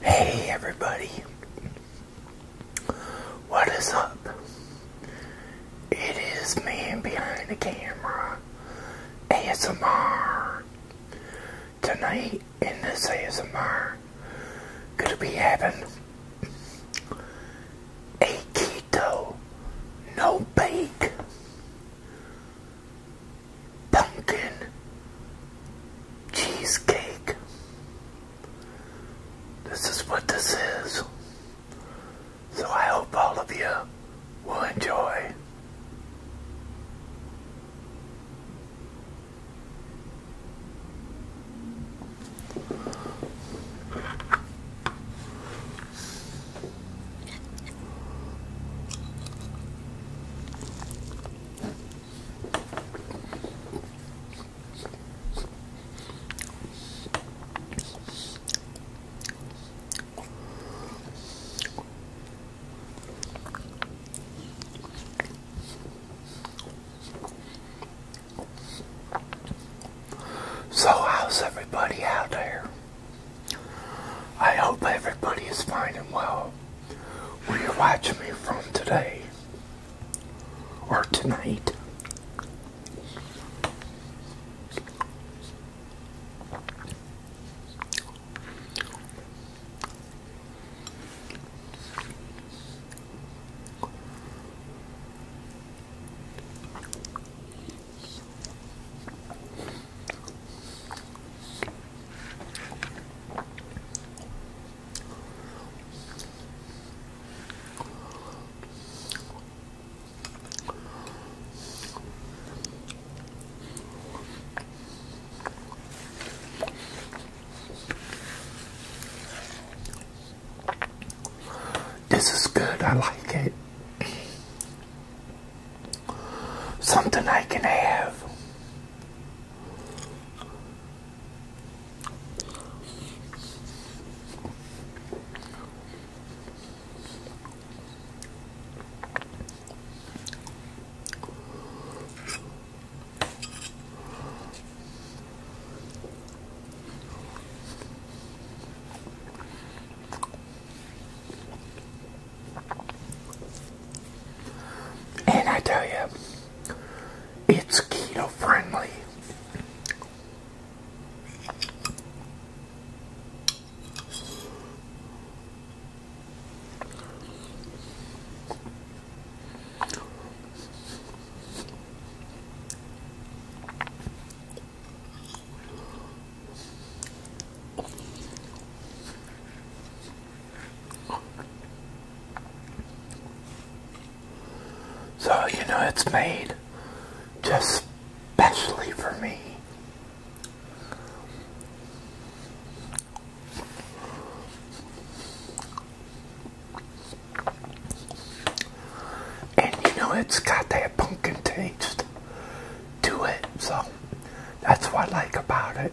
Hey everybody, what is up? It is man behind the camera ASMR. Tonight in this ASMR, gonna be having a keto no bake pumpkin cheesecake. This is what this is. So I hope all of you will enjoy. So, how's everybody out there? I hope everybody is fine and well. Will you watch me from today or tonight. This is good, I like it something I can have. And I tell you, it's keto friendly. So, you know, it's made just specially for me. And you know, it's got that pumpkin taste to it, so that's what I like about it.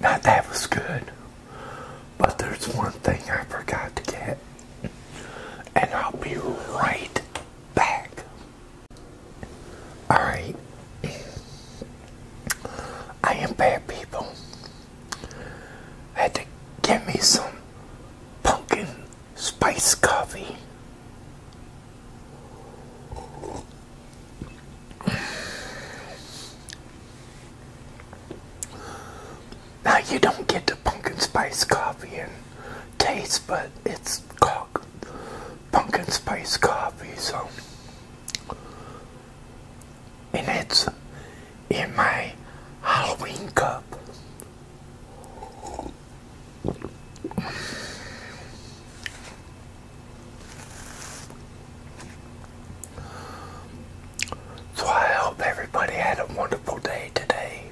Now that was good, but there's one thing I forgot to get, and I'll be right back. Alright, I am bad people. I had to get me some pumpkin spice coffee. Now you don't get the pumpkin spice coffee and taste, but it's called pumpkin spice coffee, so and it's in my Halloween cup. So I hope everybody had a wonderful day today.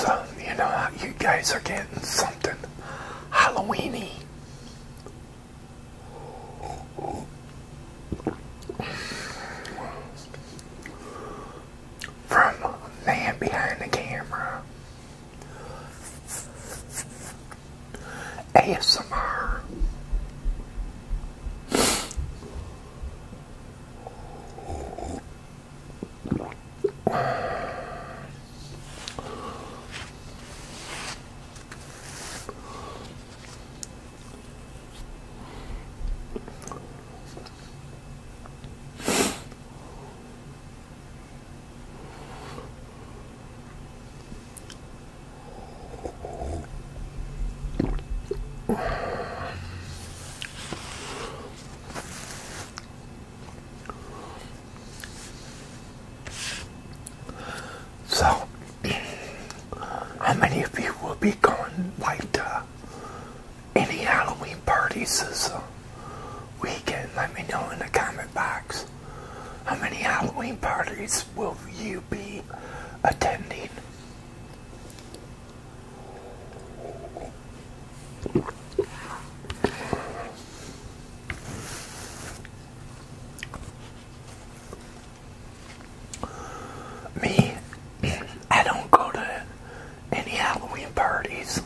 So, you know how you guys are getting something Halloweeny from man behind the camera. ASMR. So, how many of you will be going like uh, any Halloween parties this uh, weekend? Let me know in the comment box. How many Halloween parties will you be attending? Me, I don't go to any Halloween parties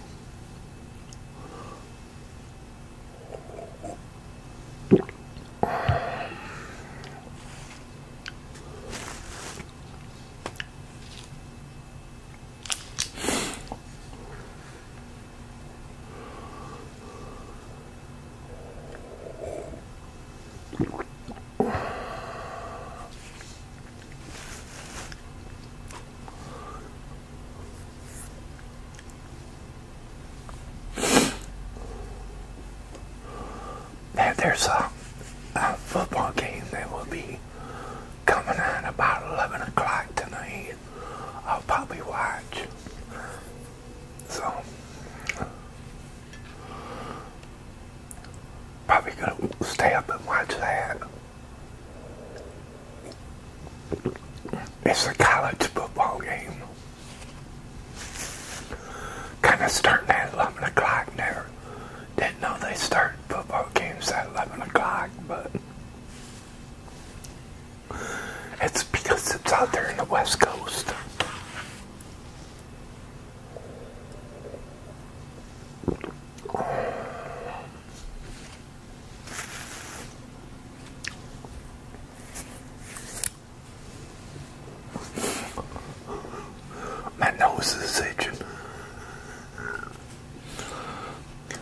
there's a, a football game that will be coming on about 11 o'clock tonight. I'll probably watch. So, probably gonna stay up and watch that. It's a college football game. Kind of starting at 11 o'clock there. Didn't know they start football games at 11 o'clock, but it's because it's out there in the West Coast. My nose is itching.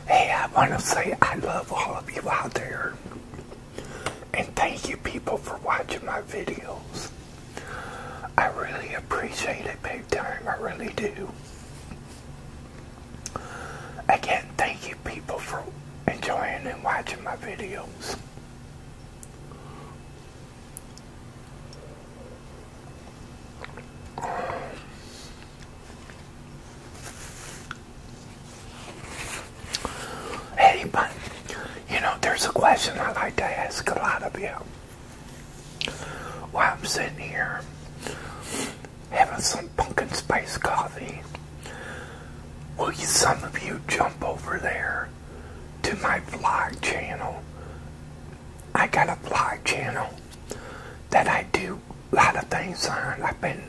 Hey, I want to say I love all of you out there. And thank you people for watching my videos. I really appreciate it big time. I really do. Again, thank you people for enjoying and watching my videos. Hey, but, you know, there's a question I like to ask a lot of you. While I'm sitting here having some pumpkin spice coffee, will some of you jump over there to my vlog channel? I got a vlog channel that I do a lot of things on. I've been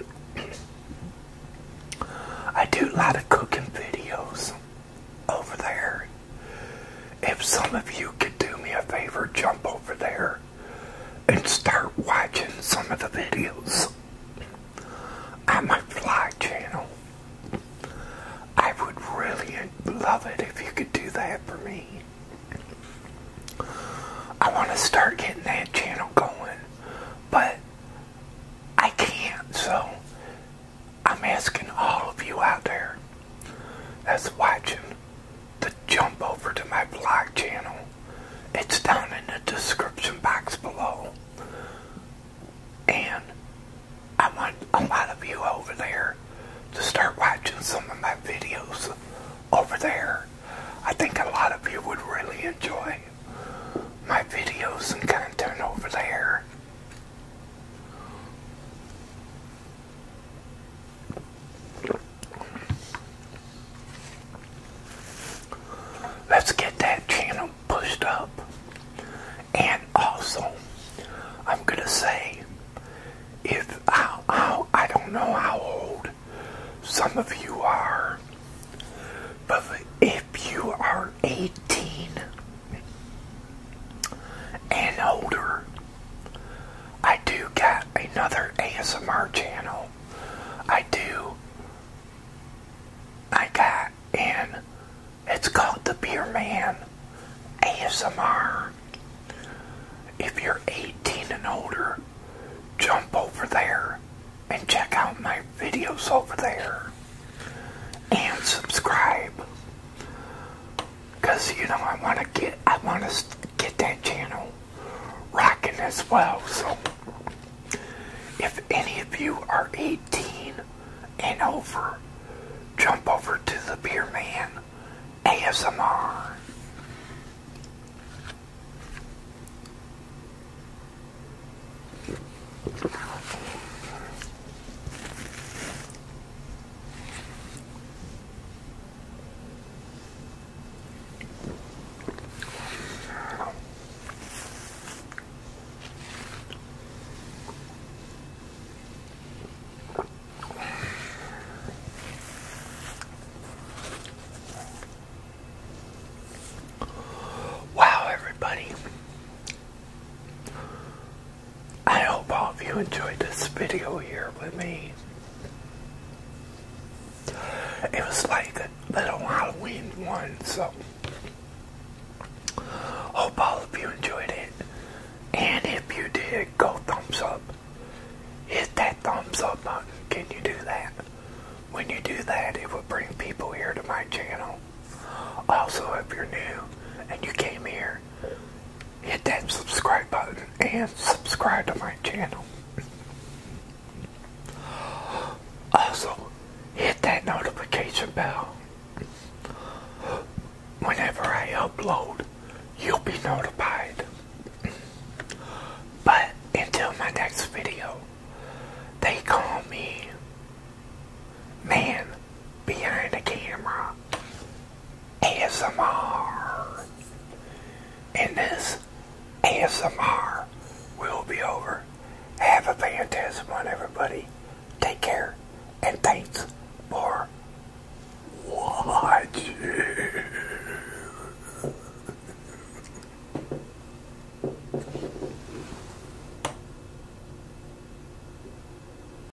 I do a lot of cooking videos over there if some of you could do me a favor, jump over there and start watching some of the videos on my Fly channel. I would really love it if you could do that for me. I want to start getting that channel going, but I can't, so I'm asking all of you out there that's watching to jump over to my blog channel. It's down in the description box below. And I want a lot of you over there to start watching some of my videos over there. I think a lot of you would really enjoy my videos and content over there. Let's get that channel pushed up. And also, I'm going to say, if I'll, I'll, I i do not know how old some of you are, but if you are 18, and older, I do got another ASMR channel. I do. I got and it's called the Beer Man ASMR. If you're 18 and older, jump over there and check out my videos over there and subscribe. Cause you know I want to get I want to get that channel rocking as well. So if any of you are 18 and over, jump over to the Beer Man ASMR. Wow, everybody. I hope all of you enjoyed this video here with me. It was like a little Halloween one, so hope all of you enjoyed it. And if you did, go thumbs up. Hit that thumbs up button. Can you do that? When you do that, it will bring people here to my channel. Also, if you're new and you came here, hit that subscribe button and subscribe to my channel. Also, hit that notification bell. Whenever I upload, you'll be notified. But until my next video, they call me Man Behind the Camera. ASMR. And this ASMR will be over. Have a fantastic one, everybody. Take care, and thanks for watching.